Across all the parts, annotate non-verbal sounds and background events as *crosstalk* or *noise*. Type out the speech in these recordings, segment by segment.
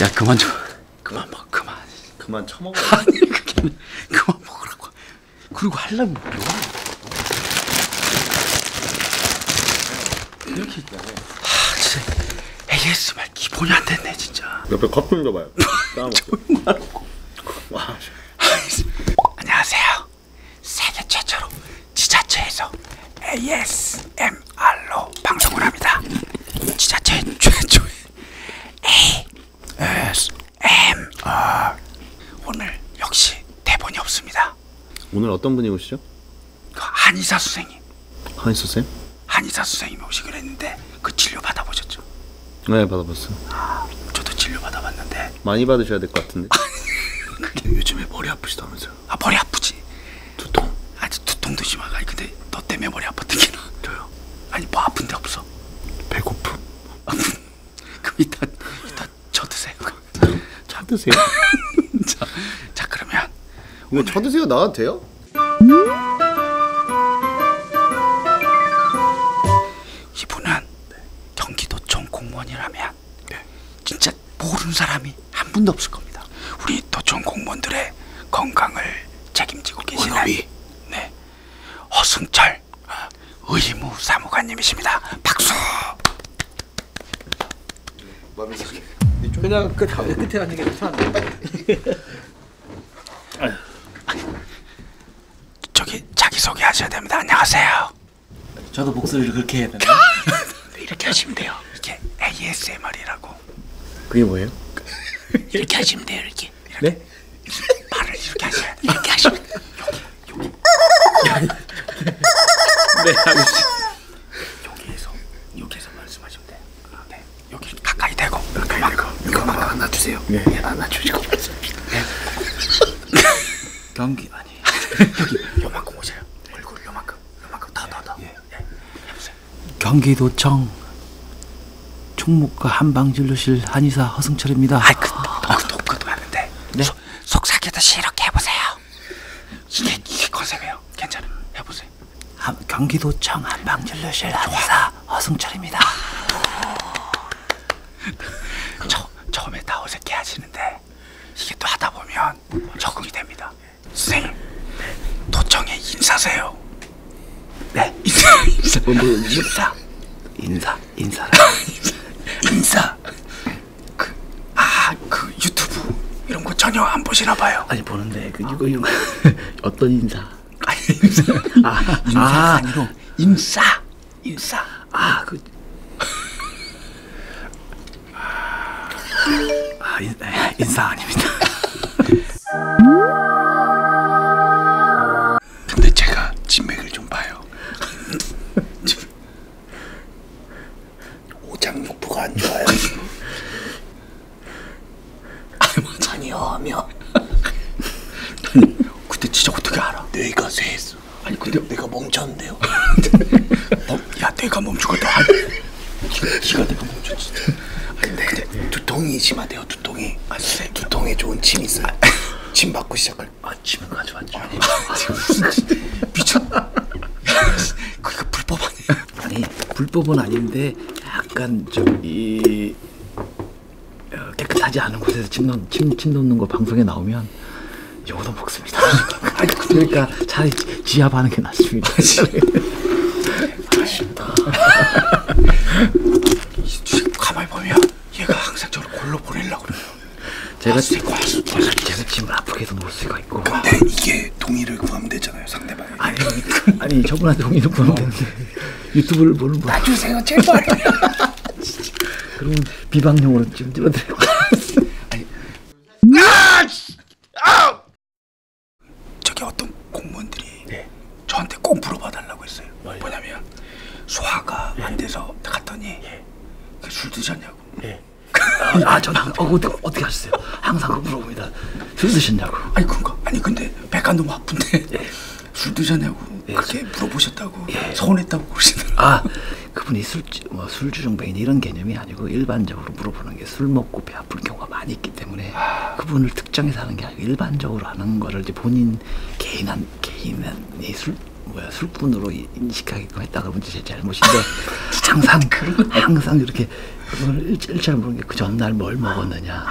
야 그만 좀 그만 먹 그만 그만 처먹어 *laughs* 아니 그게 그만 먹으라고 그리고 할라면 뭐야 이렇게 아, 진짜 AS 말 기본이 안 됐네 진짜. 옆에 컵 돌려봐요. 따먹고. *laughs* 와. 안녕하세요. 세계 최초로 지자체에서 ASMR로 방송을 합니다. 지자체 최초의 ASMR. 오늘 역시 대본이 없습니다. 오늘 어떤 분이오시죠 그 한의사 선생님. 한의사 선생? 한의사 선생님이 오시기로 했는데 그 진료 받아보셨죠? 네 받아봤어요. 아, 저도 진료 받아봤는데 많이 받으셔야 될 것 같은데. 아, *laughs* 그게 요즘에 머리 아프시다면서요? 아 머리 아프지. 두통? 아주 두통도 심하가. 근데 너 때문에 머리 아팠던 게 나. 저요? 아니 뭐 아픈 데 없어? 배고픔. *laughs* 그럼 일단 일단 쳐드세요. 쳐드세요. *laughs* 자, 자 그러면 이거 쳐드세요 나한테요? 이분은 경기도청 공무원이라면 네. 진짜 모르는 사람이 한 분도 없을 겁니다. 우리 도청 공무원들의 건강을 책임지고 그 계시는 원업이. 네 허승철 아, 의무 사무관님이십니다. 박수. 마민석이 그냥 끝 그 끝에 앉는 게 편한데. *laughs* 저기 자기 소개하셔야 됩니다. 안녕하세요. 저도 목소리를 그렇게 해야 되나? *laughs* 이렇게 하시면 돼요. 이렇게 ASMR이라고. 그게 뭐예요? *laughs* 이렇게 하시면 돼요. 이렇게. 네? 이렇게. 네? 발을 이렇게 하셔야 돼요. 이렇게 하시면 돼요. 여기 여기. 네, 알겠습니다. 여기에서 여기에서 말씀하시면 돼요. 아, 네. 여기 가까이 대고 가까이 대고 이거만 안아주세요. 네. 예, 안아주시고. 네. 네. 경기 아니. 여기 요만큼 오세요. 얼굴 요만큼 요만큼 더더 더. 예. 예. 예 해보세요. 경기도청 총무과 한방진료실 한의사 허승철입니다. 아이 그 그도 그도 맞는데. 네. 속삭이도 싫게 해보세요. 이게 이게 컨셉이에요. 괜찮아. 해보세요. 주세요. 아, 한, 아, 경기도청 한방진료실 한사 허승철입니다. *laughs* 처, 처음에 다 어색해 하시는데 이게 또 하다 보면 적응이 됩니다. 선생님, 도청에 인사세요. 네, 인사, 인사, 뭐, 뭐, 뭐? 인사, 인사, 인사, *laughs* 인사. 그, 아, 그 유튜브 이런 거 전혀 안 보시나 봐요. 아니 보는데 그 이거 이거 어. 어떤 인사? *laughs* 인사. 아, 인사 아, 아니고 인싸. 인싸. 아, 그 아, 인, 인싸 아닙니다. *laughs* 근데 제가 진맥을 좀 봐요. *laughs* 오장육부가 안 좋아요. 아니요, 아니요. 아니, 그때 진짜 어떻게 알아? 내가 쇠했어. 아니 근데 내가 멈췄는데요. 어, *laughs* 야 내가 멈추고 너 아니, 네가 내가 멈췄지. 아니, 근데, 근데 그 두통이 심하대요. 두통이. 아 선생님 두통에 좋은 침 있어요. 아, 침 받고 시작할. 아 침은 가져왔죠. 아, 지금 무슨 미쳤. *laughs* 그게 그러니까 불법 아니에요? 아니 불법은 아닌데 약간 저기 어, 깨끗하지 않은 곳에서 침, 놓, 침, 침 놓는 거 방송에 나오면 욕도 먹습니다. *laughs* 그러니까 차라리 지압하는 게 낫습니다. 아쉽다. *laughs* *laughs* 가만히 보면 얘가 항상 저를 골로 보내려고 그래요. 제가 아, 제가 침을 아프게 해서 놓을 수가 있고. 근데 이게 동의를 구하면 되잖아요. 상대방. 제발. 아니, 아니 저분한테 동의를 구하면 되는데 유튜브를 보는 분. 놔주세요 제발. *laughs* 그러면 비방용으로 지금 들어드리고. 아니. 아! 아! 저기 어떤 공무원들이 네. 저한테 꼭 물어봐달라고 했어요. 뭐요? 뭐냐면 소화가 예. 안 돼서 갔더니 예. 술 드셨냐고. 예. 아, 아 저는 어, 어떻게, 어떻게 하셨어요? 항상 물어봅니다. 술 드신다고. 아니 그러니까 아니 근데 백간도 아픈데 예. 술 드셨냐고 예. 그렇게 물어보셨다고 예. 서운했다고 그러시더라고요. 아 그분이 술주 뭐 술주 정뱅이 이런 개념이 아니고 일반적으로 물어보는 게 술 먹고 배 아픈 경우가 많이 있기 때문에 아... 그분을 특정해서 하는 게 아니고 일반적으로 하는 거를 이제 본인 개인한 개인의 술 뭐야 술꾼으로 인식하게끔 했다가 문제 제 잘못인데 *laughs* 항상 항상 이렇게 이렇게 일체를 모르는 게 그 전날 뭘 먹었느냐.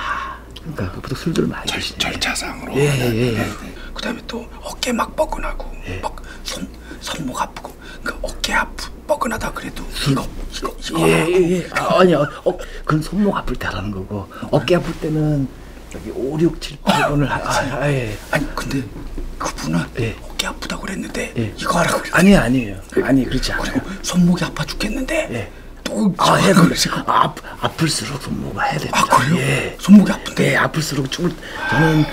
그러니까 그 보통 술들 많이 절, 드시네. 절차상으로. 예, 예, 예. 네, 네. 그다음에 또 어깨 막 뻐근하고 예. 막손 손목 아프고 그 어깨 아프 뻐근하다 그래도 술. 이거 이거 이거 예, 하고. 예, 예. 아, 아니야. 어, 그건 손목 아플 때라는 거고 어깨 아플 때는 여기 5, 6, 7, 8번을 하. 아, 아, 예. 아니 근데 그분은 예. 어깨 아프다고 그랬는데 예. 이거 하라고 그랬어요. 아니 아니에요. 예. 아니 그렇지 않아요. 손목이 아파 죽겠는데. 예. 또 아, 해 그러시고 아, 아플수록 손목을 해야 됩니다. 아 그래요? 예. 손목이 아픈데 예, 아플수록 죽을 저는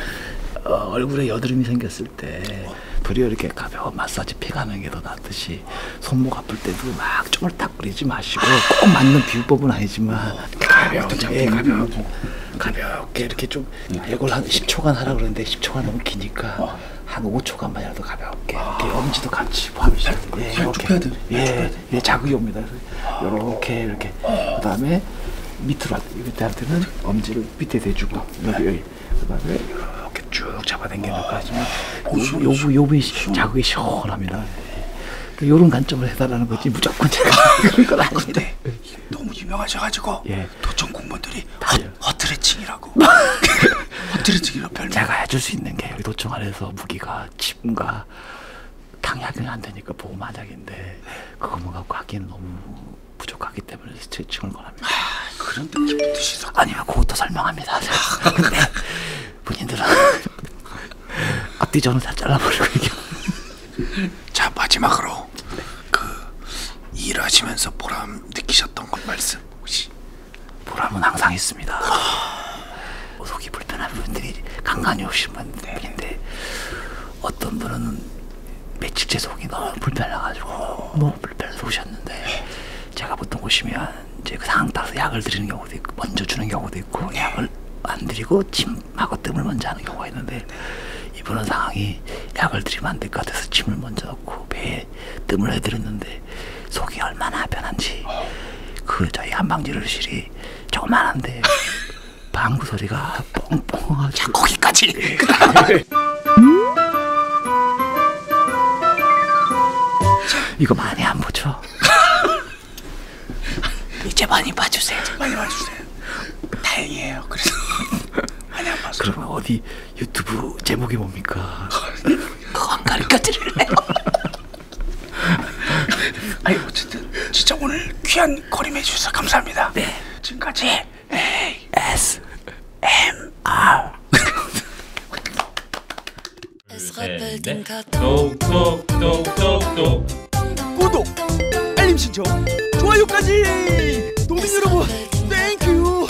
어, 얼굴에 여드름이 생겼을 때 어. 도리어 이렇게 가벼운 마사지 피가는 게더 낫듯이 손목 아플 때도 막 쪼물탁거리지 마시고 아. 꼭 맞는 비유법은 아니지만 어, 가볍게 예, 가볍게 가볍게 이렇게 좀 이걸 음. 한 10초간 하라 그러는데 10초가 너무 기니까 어. 어. 한 5초간만이라도 가볍게 아. 이렇게 엄지도 같이 포함시켜 예, 이렇게 예, 예, 자극이 옵니다. 아. 이렇게 이렇게 아. 그다음에 밑으로 밑에한테는 엄지를 밑에 대주고 여기 네. 여기 그다음에 이렇게 쭉 잡아당기는까지만 아, 요부 요부 자극이 시원합니다. 이런 그 관점을 해달라는 거지 무조건 제가 아, 그런 건 아닌데 너무 유명하셔가지고 예. 도청 공무원들이 헛, 헛트레칭이 별명이라고. 확지르치기가 *laughs* 별명. 제가 해줄 수 있는 게 도청 안에서 무기가 침과 당약이 안 되니까 보험 마약인데 그거만 뭐 갖고 하기는 너무 부족하기 때문에 스트레칭을 권합니다. 아, 그런 뜻이죠. 아니면 그것도 설명합니다. 아, 근데 본인들은 *laughs* 앞뒤 저는 다 잘라버리고 이게. 자 마지막으로 그 일하시면서 보람 느끼셨던 것 말씀 혹시? 보람은 항상 있습니다. *sighs* 속이 불편한 분들이 간간히 오시는 분인데 어떤 분은 며칠째 속이 너무 불편해가지고 너무 불편해서 오셨는데 제가 보통 오시면 이제 그 상황 따라서 약을 드리는 경우도 있고 먼저 주는 경우도 있고 약을 안 드리고 침하고 뜸을 먼저 하는 경우가 있는데 이분은 상황이 약을 드리면 안 될 것 같아서 침을 먼저 넣고 배에 뜸을 해드렸는데 보이지 속이 얼마나 편한지 그 저희 한방지르실이 조그만한데 방구 소리가 뻥뻥하고 거기까지 *laughs* 이거 많이 안 보죠? *laughs* 이제 많이 봐주세요 많이 봐주세요 다행이에요 그래서 *laughs* 많이 안 봤어요 그러면 어디 유튜브 제목이 뭡니까? 건강과 드릴래요. *laughs* 아니 어쨌든 진짜 오늘 귀한 거림해 주셔서 감사합니다. 네. 지금까지 네. A S M R. 네. 똑똑똑똑똑 구독 알림 신청 좋아요까지 도민 여러분 땡큐